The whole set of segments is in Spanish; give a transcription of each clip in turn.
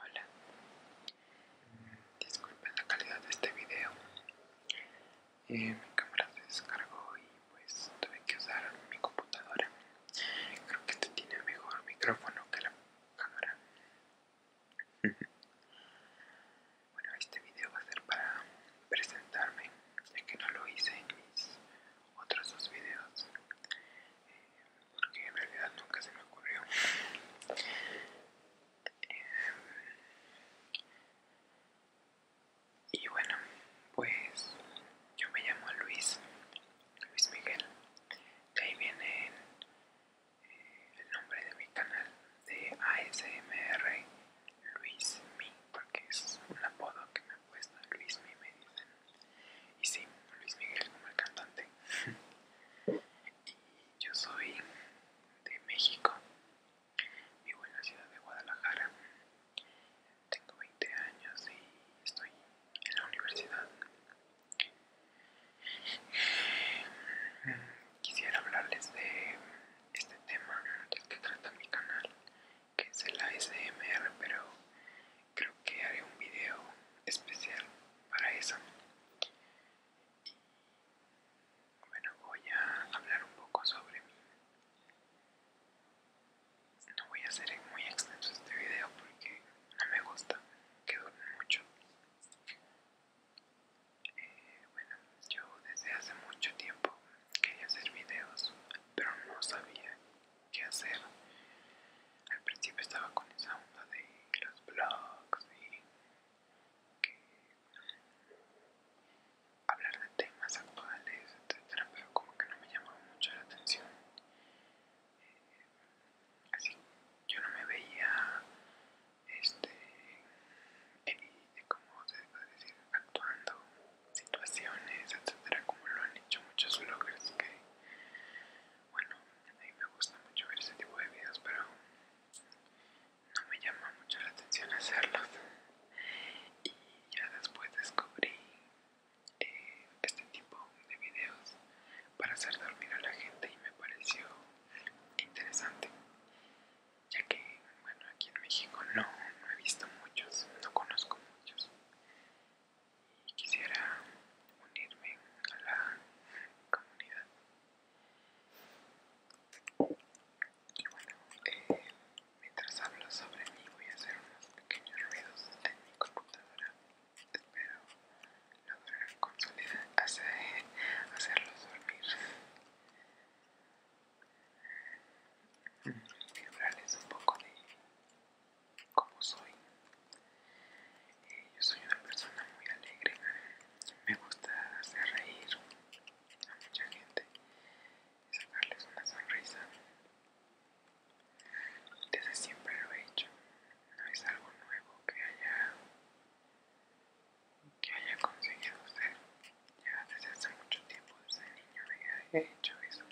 Hola, disculpen la calidad de este video. Eh, mi cámara se descargó y pues tuve que usar mi computadora. Creo que este tiene mejor micrófono que la cámara. bueno, este video va a ser para presentarme, ya que no lo hice en mis otros dos videos. Eh, porque en realidad nunca se me ocurrió. Eh, y bueno, pues yo me llamo Luis, Luis Miguel. De ahí viene eh, el nombre de mi canal de ASMR Luis Mi, porque es un apodo que me ha puesto Luis Mi, me dicen y sí, Luis Miguel como el cantante. y yo soy de México. Vivo en la ciudad de Guadalajara. Tengo 20 años y estoy en la universidad. Quisiera hablarles de este tema que trata mi canal, que es el ASMR, pero creo que haré un video especial para eso bueno voy a hablar un poco sobre mí no voy a hacer muy extenso este video porque no me gusta que dure mucho eh, bueno yo desde hace mucho tiempo quería hacer videos pero no sabía qué hacer. Al principio estaba con esa onda de los blogs y que hablar de temas actuales, etcétera, pero como que no me llamaba mucho la atención. Eh, así, yo no me veía, este, como se puede decir, actuando situaciones, etcétera, como lo han hecho muchos bloggers que bueno, a mí me gusta mucho ver este tipo de videos, pero no me llama mucho la atención hacerlos. Y ya después descubrí eh, este tipo de videos para hacer dormir a la gente y me pareció interesante, ya que, bueno, aquí en México no he visto muchos, no conozco muchos quisiera unirme a la comunidad. Y bueno, eh, mientras hablo sobre mí voy a hacer unos pequeños ruidos en mi computadora. Espero lograr consolidar, hacer, hacerlos dormir. Y hablarles un poco de como soy. Eh, yo soy una persona muy alegre, me gusta hacer reír a mucha gente y sacarles una sonrisa. Desde siempre lo he hecho, no es algo nuevo que haya, que haya conseguido hacer. Ya desde hace mucho tiempo, desde niño he hecho eso.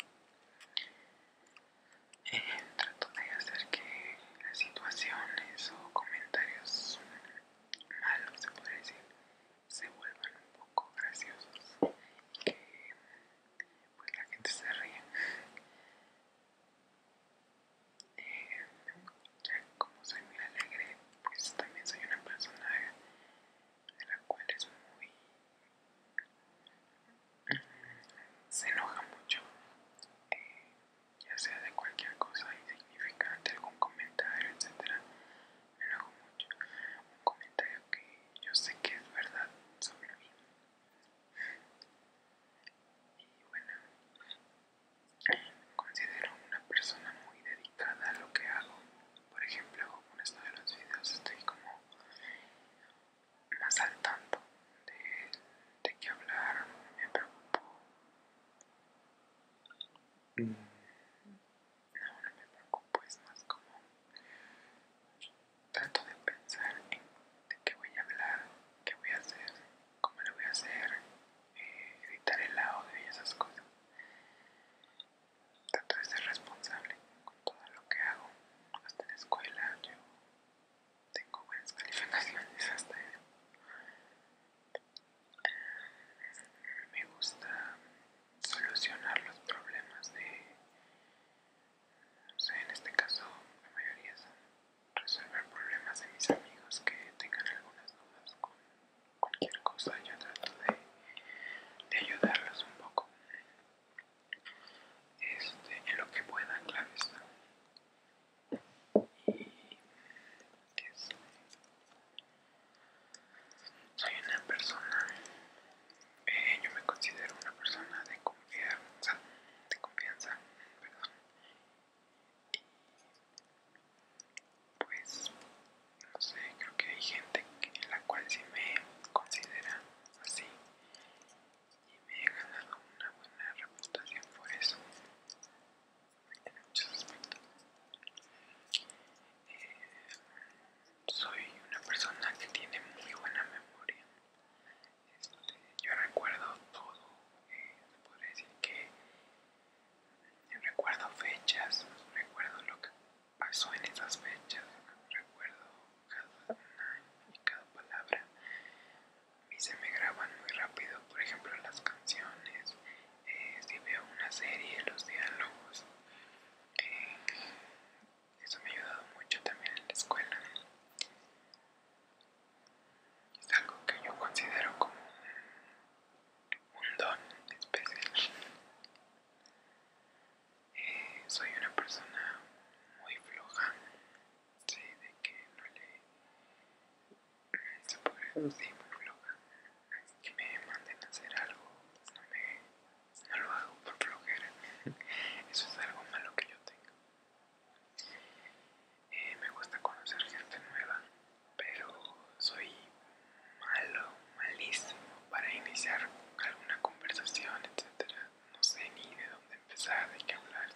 Eh, trato de hacer que las situaciones o comentarios malos, se puede decir, se vuelvan un poco graciosos y que pues, la gente se ría. Eh, ya como soy muy alegre, pues también soy una persona la cual es muy... Mm, se enoja mucho, eh, ya sea de cualquier cosa insignificante, algún comentario, etcétera Me enojo mucho. Un comentario que yo sé que es verdad sobre mí. Y bueno, considero una persona muy dedicada a lo que hago. Por ejemplo, con esto de los videos estoy como más al tanto de, de hablar. hablar me preocupo, mm. No, no me preocupo, es más como trato de pensar en de qué voy a hablar, qué voy a hacer, cómo lo voy a hacer, eh, editar el audio y esas cosas. Trato de ser responsable con todo lo que hago. Hasta la escuela yo tengo buenas calificaciones hasta Me gusta solucionar los problemas de, No sé, en este caso la mayoría son resolver problemas de mis amigos que tengan algunas dudas con cualquier cosa. Yo trato de ayudarlos un poco. Este, en lo que pueda, claro está. soy una persona, eh, yo me considero una persona de confianza, de confianza, perdón. pues, no sé, creo que hay gente en la cual sí me considera así y me he ganado una buena reputación por eso eh, soy una persona que tiene muy buena memoria este, yo recuerdo todo eh, decir que recuerdo fechas recuerdo lo que Pasó en esas fechas, recuerdo cada una y cada palabra. A mí se me graban muy rápido, por ejemplo, las canciones, eh, si veo una serie, los diálogos. Eh, eso me ha ayudado mucho también en la escuela. Es algo que yo considero como un, un don especial soy una persona muy floja, sí, de que no le se puede decir muy floja, así que me manden a hacer algo, pues no, lo hago por flojera, eso es algo malo que yo tengo. Eh, me gusta conocer gente nueva, pero soy malo, malísimo para iniciar alguna conversación, etcétera. No sé ni de dónde empezar, de qué hablar.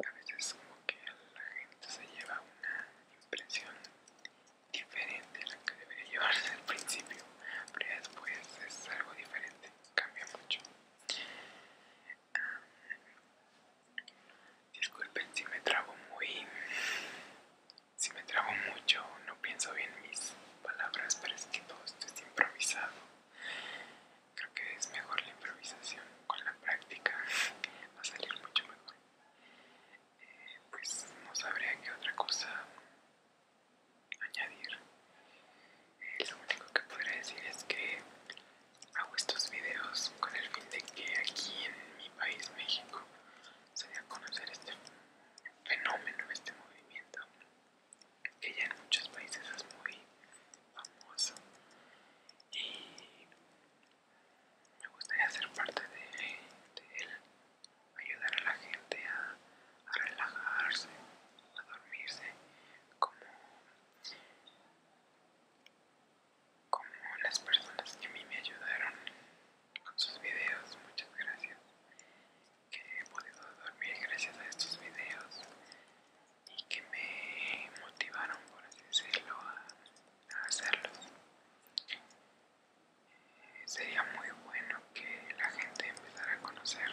Y a veces como que la gente se lleva una impresión diferente a la que debería llevarse al principio, pero después es algo diferente, cambia mucho. disculpen si me trago muy si me trago mucho, no pienso bien mis palabras, pero es que todo esto es improvisado. Creo que es mejor la improvisación, con la práctica va a salir mucho mejor. Eh, pues no sabría qué otra cosa añadir. Eh, lo único que podría decir es que hago estos videos con el fin de que aquí en mi país, México, sería conocer este fenómeno, este movimiento, que ya en muchos países es muy famoso y me gustaría ser parte de, él, ayudar a la gente a relajarse, a dormirse, como como las personas que a mí me ayudaron con sus videos, muchas gracias, que he podido dormir gracias a estos videos y que me motivaron, por así decirlo, a, hacerlos. Eh, sería muy bueno que la gente empezara a conocer,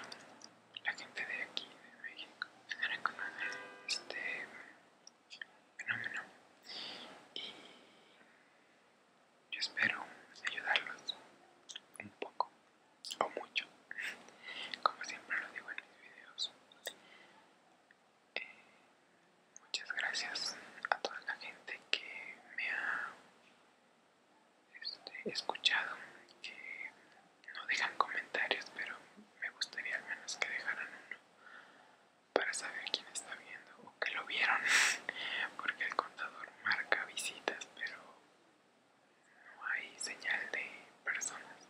la gente de aquí, de México, a conocer este fenómeno y yo espero ayudarlos un poco o mucho como siempre lo digo en mis videos eh, muchas gracias a toda la gente que me ha este, escuchado que no dejan comentarios pero me gustaría al menos que dejaran uno para saber quién está viendo o que lo vieron, porque el contador marca visitas, pero no hay señal de personas.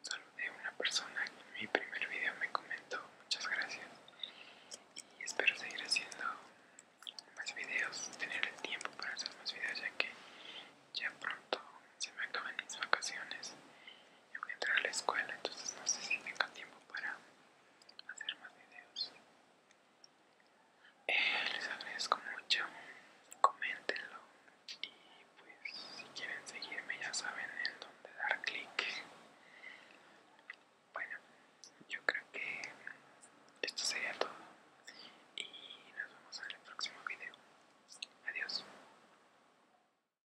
solo de una persona en mi primer video me comentó muchas gracias y espero seguir haciendo más videos, tener el tiempo para hacer más videos ya que ya pronto se me acaban mis vacaciones yo voy a entrar a la escuela, entonces no sé si tengo tiempo para hacer más videos. Eh, les agradezco mucho, coméntenlo y pues si quieren seguirme ya saben en dónde dar clic. Bueno, yo creo que esto sería todo y nos vemos en el próximo video. Adiós.